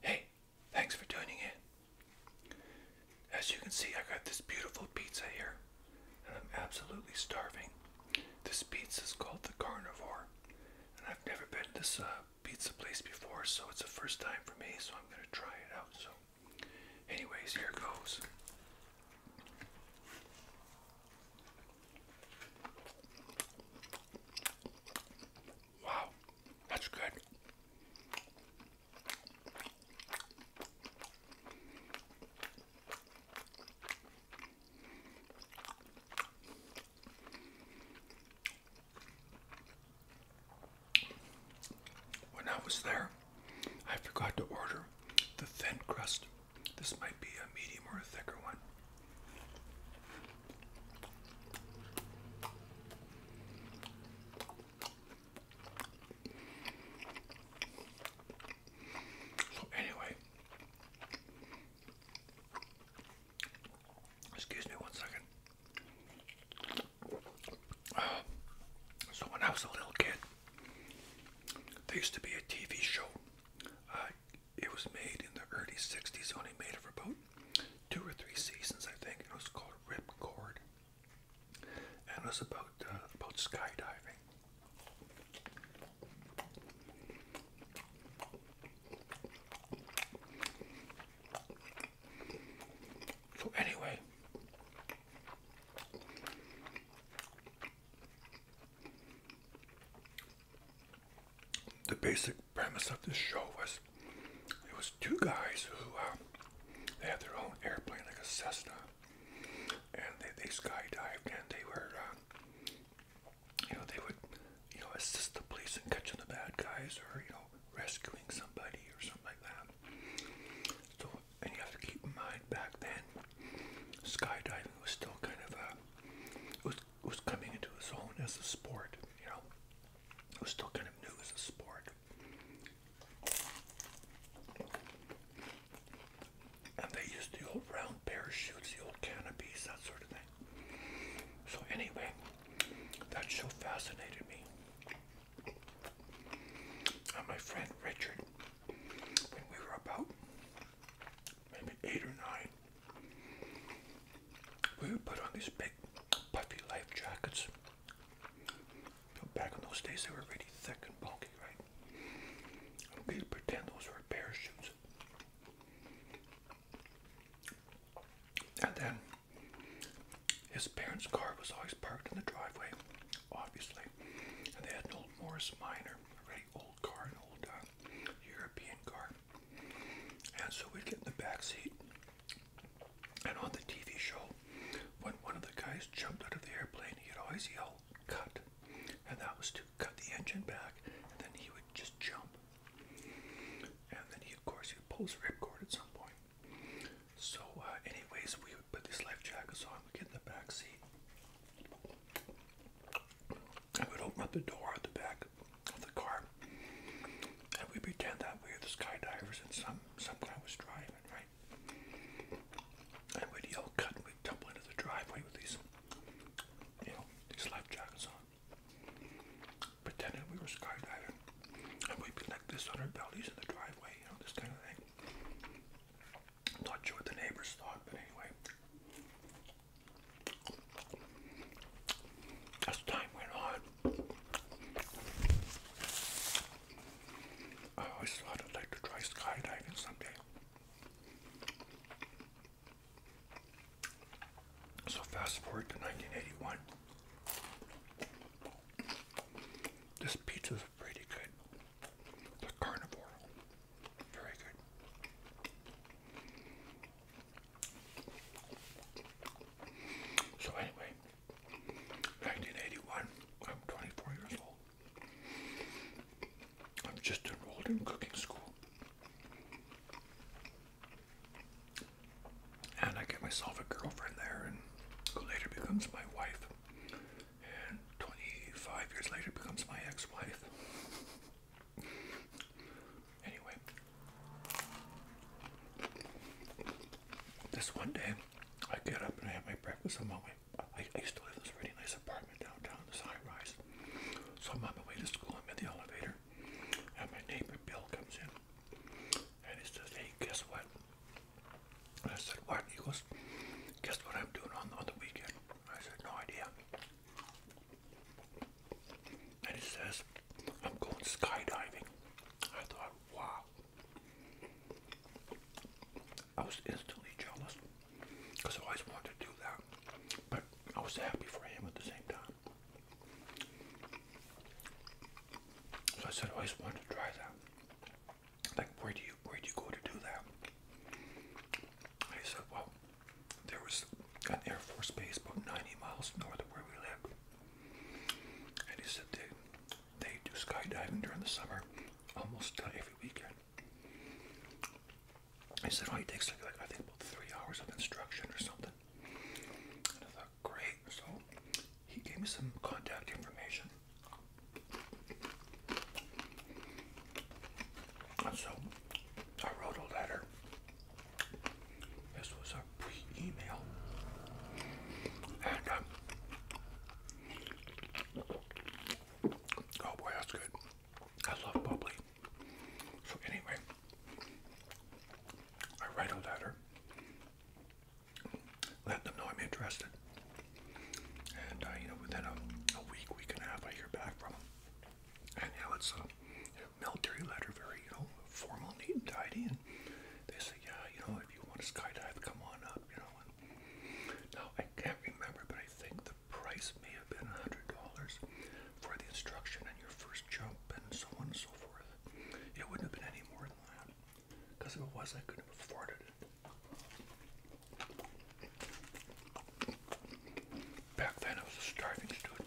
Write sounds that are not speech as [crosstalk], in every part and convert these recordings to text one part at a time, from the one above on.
Hey, thanks for tuning in. As you can see, I got this beautiful pizza here, and I'm absolutely starving. This pizza is called the Carnivore, and I've never been to this uh, pizza place before, so it's the first time for me, so I'm going to try it out. So, anyways, here goes. Wow, that's good. When I was there, I forgot to order the thin crust. This might be a medium or a thicker one. So anyway, excuse me one second. Uh, so when I was a little kid, there used to be a TV show. Uh, it was made in the early 60s, only made for about two or three seasons, I think. It was called Ripcord, and it was about uh, about skydiving. So anyway, the basic premise of this show was it was two guys who uh, they had their own airplane, like a Cessna, and they, they skydived and they were, uh, you know, they would, you know, assist the police in catching the bad guys or, you know, rescuing somebody or something like that. So, and you have to keep in mind back then, skydiving was still kind of a, it was Who's coming into his own as a sport, you know. Who's still kind of new as a sport. And they used the old round parachutes, the old canopies, that sort of thing. So anyway, that show fascinated me. And my friend Richard, when we were about maybe eight or nine, we would put on these big puffy life jackets. Back in those days, they were really thick and bulky, right? we'd pretend those were parachutes. And then his parents' car was always parked in the driveway, obviously. And they had an old Morris Minor, a very old car, an old uh, European car. And so we'd get in the back seat, and on the TV show, when one of the guys jumped out of the airplane, he'd always yell, cut. And that was to cut the engine back, and then he would just jump. And then he, of course, he would pull ripcord at some point. So, uh, anyways, we would put these life jackets on, we'd get in the back seat. and we would open up the door at the back of the car, and we pretend that we are skydivers and some some guy was driving, right? And we'd yell cut and we'd tumble into the driveway with these, you know, these life jackets on. Pretending we were skydiving. And we'd be like this on our bellies in the driveway, you know, this kind of thing. Not sure what the neighbors thought, but anyway. As time went on, I always thought I'd like to try skydiving someday. So fast forward to 1981. This pizza's pretty good. The carnivore. Very good. So anyway, 1981, I'm 24 years old. I'm just enrolled in cooking school. And I get myself a girlfriend there and who later becomes my wife. And 25 years later becomes my ex-wife. Anyway, this one day I get up and I have my breakfast. on my way. I used to live in this really nice apartment downtown, this high rise. So I'm on my way to school, I'm in the elevator, and my neighbor Bill comes in and he says, Hey, guess what? And I said, What? He goes, Guess what I'm doing on the weekend? I said, No idea. And he says, I'm going skydiving. I thought, wow. I was instantly jealous because I always wanted to do that, but I was happy for him at the same time. So I said, I always wanted to try that. Like, where do you where do you go to do that? he said, well, there was an Air Force base about 90 miles north of where we lived. And he said they, they do skydiving during the summer almost every weekend. He said, well, oh, he takes like, I think about three hours of instruction or something. And I thought, great. So he gave me some contact information. so I wrote a letter this was our pre-email, and um, oh boy, that's good. I love bubbly. So anyway, I write a letter, let them know I'm interested, and uh, you know, within a, week, week and a half, I hear back from them. And now it's um, military letter, very, you know, formal, neat and tidy, and they say, yeah, you know, if you want to skydive, come on up, you know. And now, I can't remember, but I think the price may have been $100 for the instruction and your first jump and so on and so forth. It wouldn't have been any more than that, because if it was, I couldn't have afforded it. Back then, I was a starving student.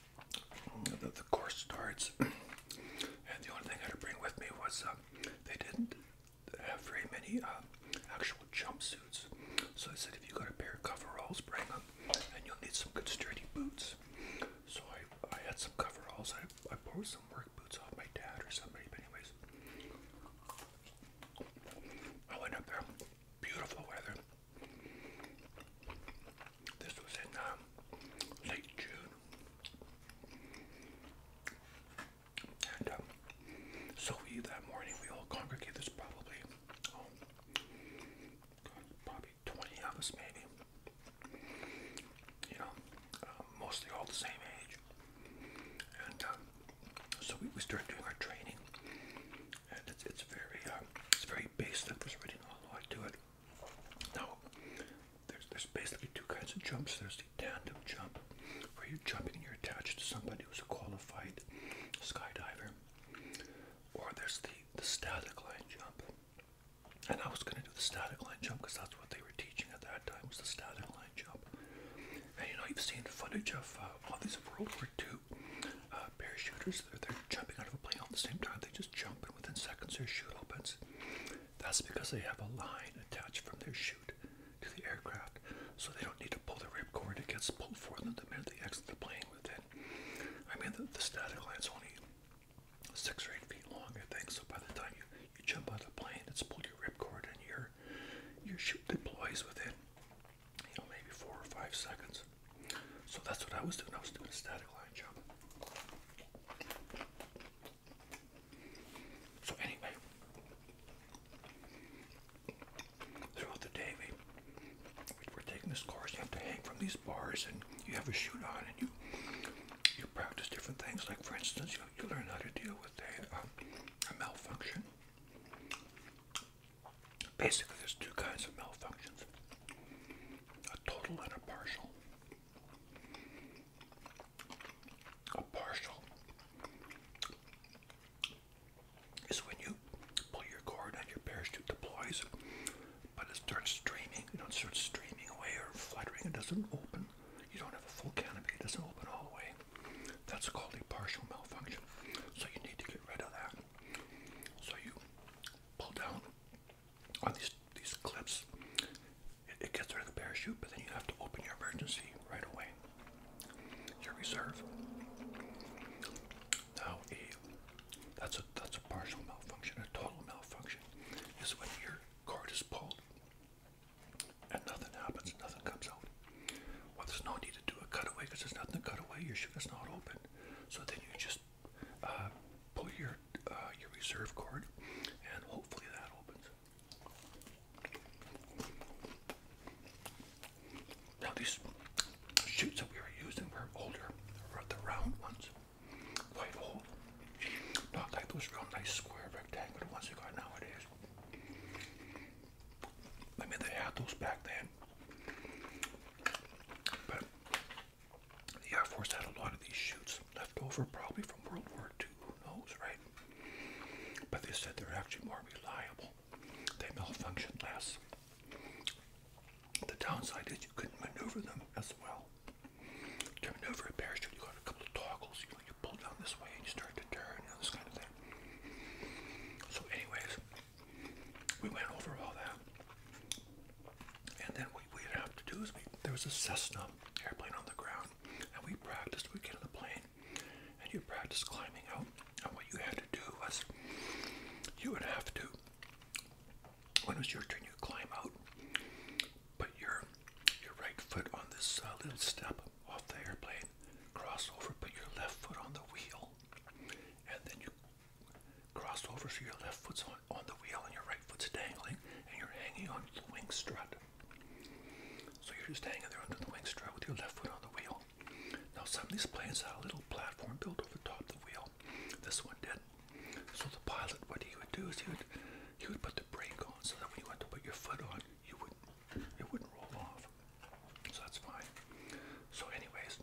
the, the course starts. [clears throat] And the only thing I had to bring with me was uh, they didn't have very many uh, actual jumpsuits. So I said, if you got a pair of coveralls, bring them, and you'll need some good sturdy boots. So I, I had some coveralls. I, I borrowed some work boots off my dad or somebody, but anyways. I went up there, beautiful weather. This was in um, late June. And um, so we that morning we all congregated. There's probably um, probably 20 of us maybe. You know, mostly all the same age. And so we, we start doing our training, and it's, it's very it's very basic. There's really not a lot to it. Now, there's, there's basically two kinds of jumps. There's the tandem jump, where you're jumping and you're attached to somebody who's a qualified skydiver. Or there's the, the static line jump. And I was going to do the static line jump because that's what they were teaching at that time was the static line jump. And you know, you've seen footage of uh, all these World War II uh, parachuters. They're, they're jumping out of a plane all at the same time. They just jump and within seconds their chute opens. That's because they have a line attached from their chute to the aircraft, so they don't need to pull the ripcord. It gets pulled for them the minute they exit the plane within. I mean, the, the static line's only six or eight feet long, I think, so by the time you, you jump out the plane, it's pulled your ripcord and your, your chute deploys within, you know, maybe four or five seconds. So that's what I was doing. I was doing a static line jump. So anyway, throughout the day, we, we're taking this course. You have to hang from these bars, and you have a shoot on, and you you practice different things. Like for instance, you you learn how to deal with a um, malfunction. Basically, there's two kinds of malfunctions: a total and a partial. A partial is when you pull your cord and your parachute deploys, but it starts streaming, you know, it starts streaming away or fluttering. It doesn't open. You don't have a full canopy. It doesn't open all the way. That's called a partial malfunction. So you need to get rid of that. So you pull down on these these clips, it, gets rid of the parachute, but then you have to open your emergency right away. Your reserve. Now that's a that's a partial malfunction. A total malfunction is when your cord is pulled and nothing happens, nothing comes out. Well, there's no need to do a cutaway because there's nothing to cut away. Your chute is not open, so then you just just uh, pull your uh, your reserve card, and hopefully that opens. Now these shoots that we were using were older, the round ones, quite old, not like those real nice square rectangular ones you got nowadays. I mean, they had those back then, but the Air Force had a lot of these shoots left over, probably from World War II, who knows, right? But they said they're actually more reliable. They malfunction less. The downside is you couldn't maneuver them as well. To maneuver a parachute, you got a couple of toggles. You you pull down this way and you start to turn and this kind of thing. So, anyways, we went over all that. And then what we'd have to do is there was a Cessna airplane on the ground, and we practiced. we get in the plane, and you practice climbing out. And what you had to do was, you would have to, when it was your turn, you climb out, put your your right foot on this uh, little step off the airplane, cross over, put your left foot on the wheel, and then you cross over so your left foot's on on the wheel and your right foot's dangling and you're hanging onto the wing strut. So you're just hanging there under the wing strut with your left foot on the wheel. Now some of these planes have a little platform built over top the wheel. This one did. So the pilot, what he would do is he would he would put the brake on so that when you went to put your foot on, you would it wouldn't roll off. So that's fine. So anyways,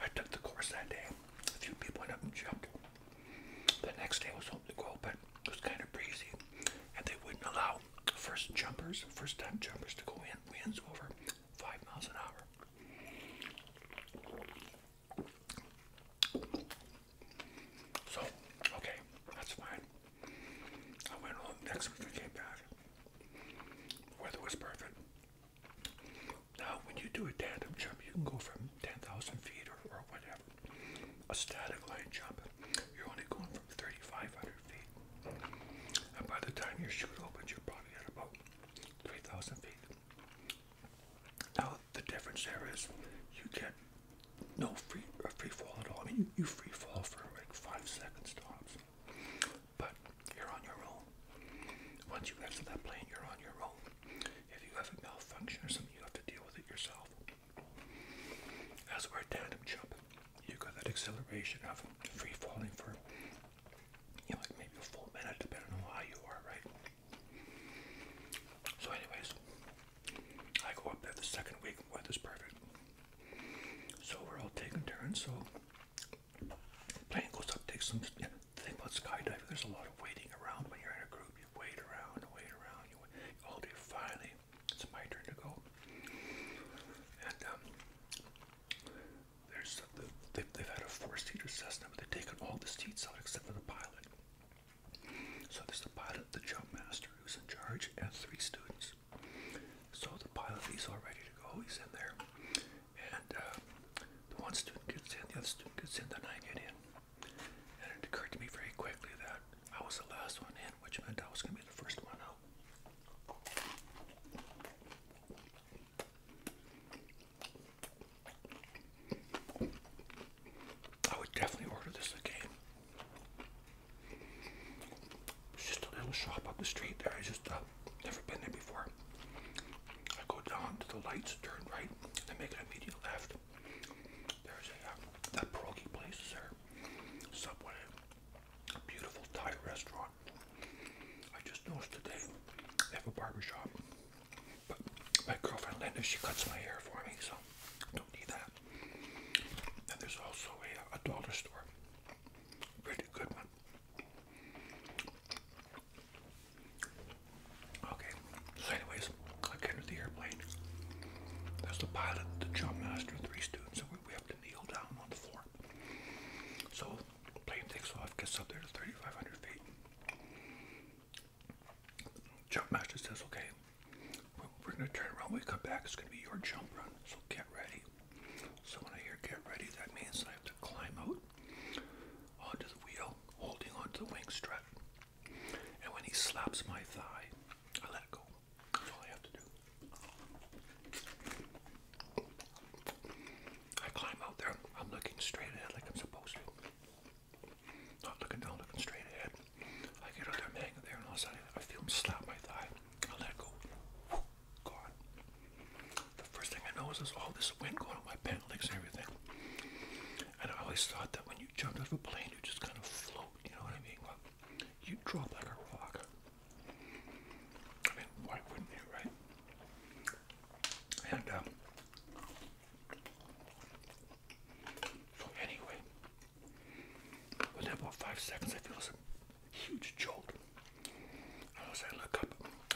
I took the course that day a few people went up and jumped. The next day I was hoping to go, but it was kind of breezy, and they wouldn't allow first jumpers, first time jumpers, to go in winds over five miles an hour. So, okay, that's fine. I went home next week I came back. weather was perfect. Now, when you do a tandem jump, you can go from 10,000 feet or, or whatever. A static line jump, you're only going from 3,500 feet. And by the time your chute opens, you're probably at about 3,000 feet. Now, the difference there is you get no free, uh, free fall at all. I mean, you, you free fall for like five seconds tops, But you're on your own. Once you exit that plant, you're on your own. If you have a malfunction or something, you have to deal with it yourself. As we tandem jumping, you got that acceleration of free falling for you know, maybe a full minute, depending on how you are, right? So, anyways, I go up there the second week, weather's perfect. So, we're all taking turns. So, plane goes up, takes some, the about skydiving, there's a lot of waiting around when you're in a group. You wait around, wait around, you all day. Finally, it's my turn to go. And um, there's uh, they've, they've had a four-seater Cessna, but they've taken all the seats out except for the pilot. So there's the pilot, the jump master who's in charge, and three students. So the pilot, he's all ready to go. He's in there and uh, the one student gets in, the other student gets in, then I get in. And it occurred to me very quickly that I was the last one in, which meant I was going to be the first one out. I would definitely order this again. It's just a little shop up the street there. I just uh, never been there before. I go down to the lights, turn right, and make an immediate left. There's a, uh, that pierogi place there, Subway, a beautiful Thai restaurant. I just noticed today they have a barber shop. but my girlfriend Linda, she cuts my hair for me, so don't need that. And there's also a, a dollar store, pretty good one. Okay, so anyways, I get into the airplane. There's the pilot, the jump three students, and we, have to kneel down on the floor. So plane takes off, gets up there to 3,500 feet. Jump says, okay, we're, going to turn around. When we come back, it's going to be your jump run, so get ready. So when I hear get ready, that means I climb out onto the wheel, holding onto the wing strut. And when he slaps my thigh, I let go. That's all I have to do. I climb out there. I'm looking straight ahead like I'm supposed to. Not looking down, looking straight ahead. I get out there, i there, and all of a sudden I feel him slap my thigh. I let go. Woo, the first thing I noticed is all this wind going on my pants legs and everything. And I always thought that when you jumped out of a plane, you just kind of float, you know what I mean? Well, you drop like a rock. I mean, why wouldn't you, right? And, um, so anyway, within about five seconds, I feel some huge jolt. as I look up,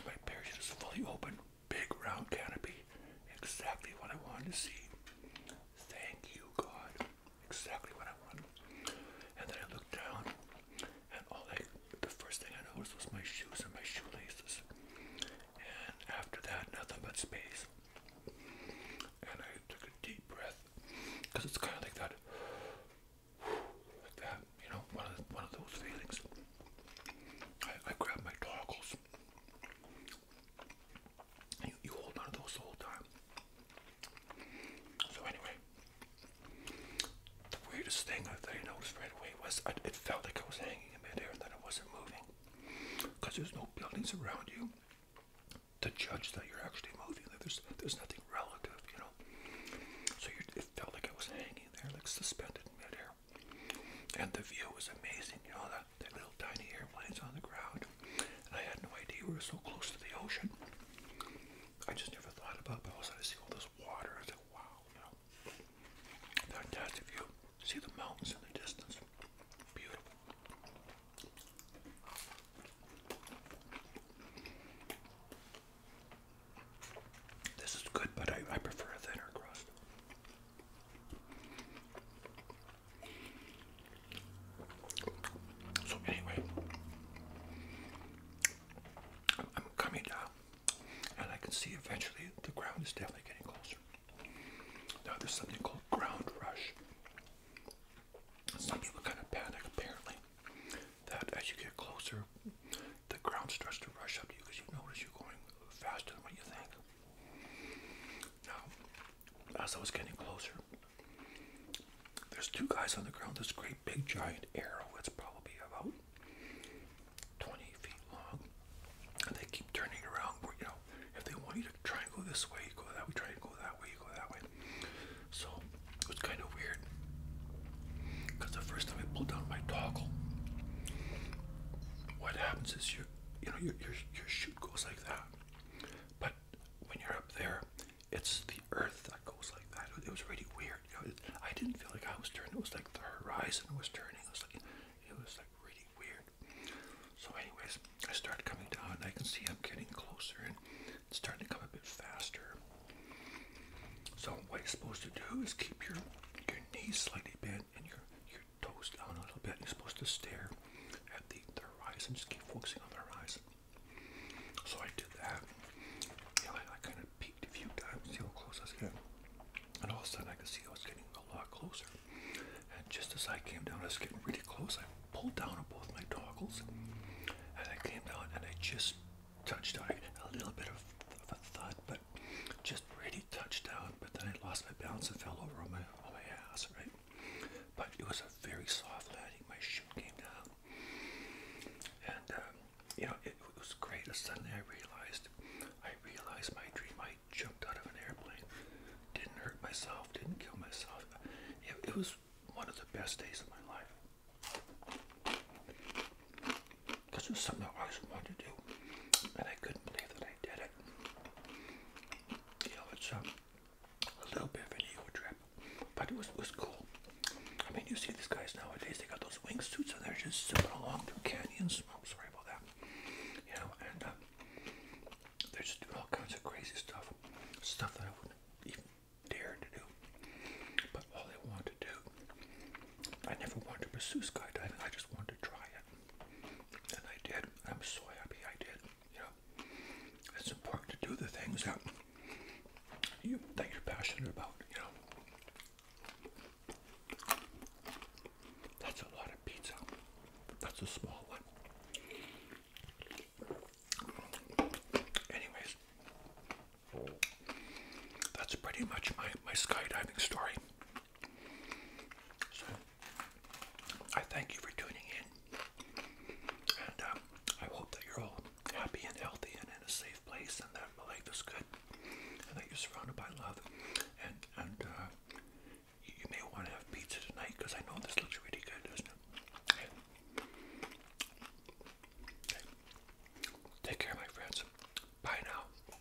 my parachute is fully open big round canopy. Exactly what I wanted to see. Thank you, God. Exactly what I wanted. And then I looked down, and all the first thing I noticed was my shoes and my shoelaces. And after that, nothing but space. And I took a deep breath, because it's kind of like that, like that, you know, one of, one of those feelings. I, I grabbed my toggles you, hold on to those the whole time. So anyway, the weirdest thing that I noticed right away was it felt like I was hanging in midair and that I wasn't moving, because there's no buildings around you to judge that you're actually moving. there's there's nothing relative, you know. So you, it felt like I was hanging there, like suspended in midair. And the view was amazing, you know, that, that little tiny airplanes on the ground. And I had no idea we were so close to the ocean. I just never thought about it, but also to see all this water. I was wow, you know. Fantastic view. See the mountains in the distance. Beautiful. This is good, but I, I prefer a thinner crust. So anyway, I'm, coming down, and I can see eventually the ground is definitely getting closer. Now there's something called ground rush. Some kind of panic apparently that as you get closer, the ground starts to rush up to you because you notice you're going faster than what you think. Now, as I was getting closer, there's two guys on the ground. This great big giant arrow, it's probably about 20 feet long. And they keep turning around. Where, you know, if they want you to try and go this way, you go that way, try and go that way, you go that way. So it was kind of weird. Because the first time I pulled down my toggle, what happens is you you know your your your shoot goes like that, but when you're up there, it's the earth that goes like that. It was really weird. I didn't feel like I was turning. It was like the horizon was turning. It was like it was like really weird. So, anyways, I start coming down. I can see I'm getting closer and it's starting to come a bit faster. So, what you're supposed to do is keep your your knees slightly bent and your your toes down a little bit. You're supposed to stare at the, horizon, just keep focusing on the horizon. So I did that. Yeah, I, kind of peeked a few times, see how close I was getting. And all of a sudden I could see I was getting a lot closer. And just as I came down, I was getting really close. I pulled down on both my toggles and I came down and I just touched on a little bit of, of a thud, but just really touched down, but then I lost my balance and fell over on my on my ass, right? But it was a very soft landing. My shoe came down, and um, you know it, was great. And suddenly I realized, I realized my dream. I jumped out of an airplane, didn't hurt myself, didn't kill myself. it was one of the best days of my life because it was something I always wanted to do, and I couldn't believe that I did it. You know, it's um, a little bit of an ego trip, but it was, was cool. I mean, you see these guys nowadays, they got those wing suits and they're just zipping along through canyons. Oh, sorry about that. You know, and um, they're just doing all kinds of crazy stuff, stuff that I wouldn't even dare to do. But all I wanted to do, I never wanted to pursue skydiving, I just wanted to try it. And I did. I'm so happy I did. You know, it's important to do the things that you are passionate about. You know, that's a lot of pizza. That's a small one. Anyways, that's pretty much my my skydiving story. So, I thank you for tuning in, and um, I hope that you're all happy and healthy and in a safe place, and that life is good, and that you're surrounded by love, and and uh, you may want to have pizza tonight because I know this looks really good, doesn't it? Take care, my friends. Bye now.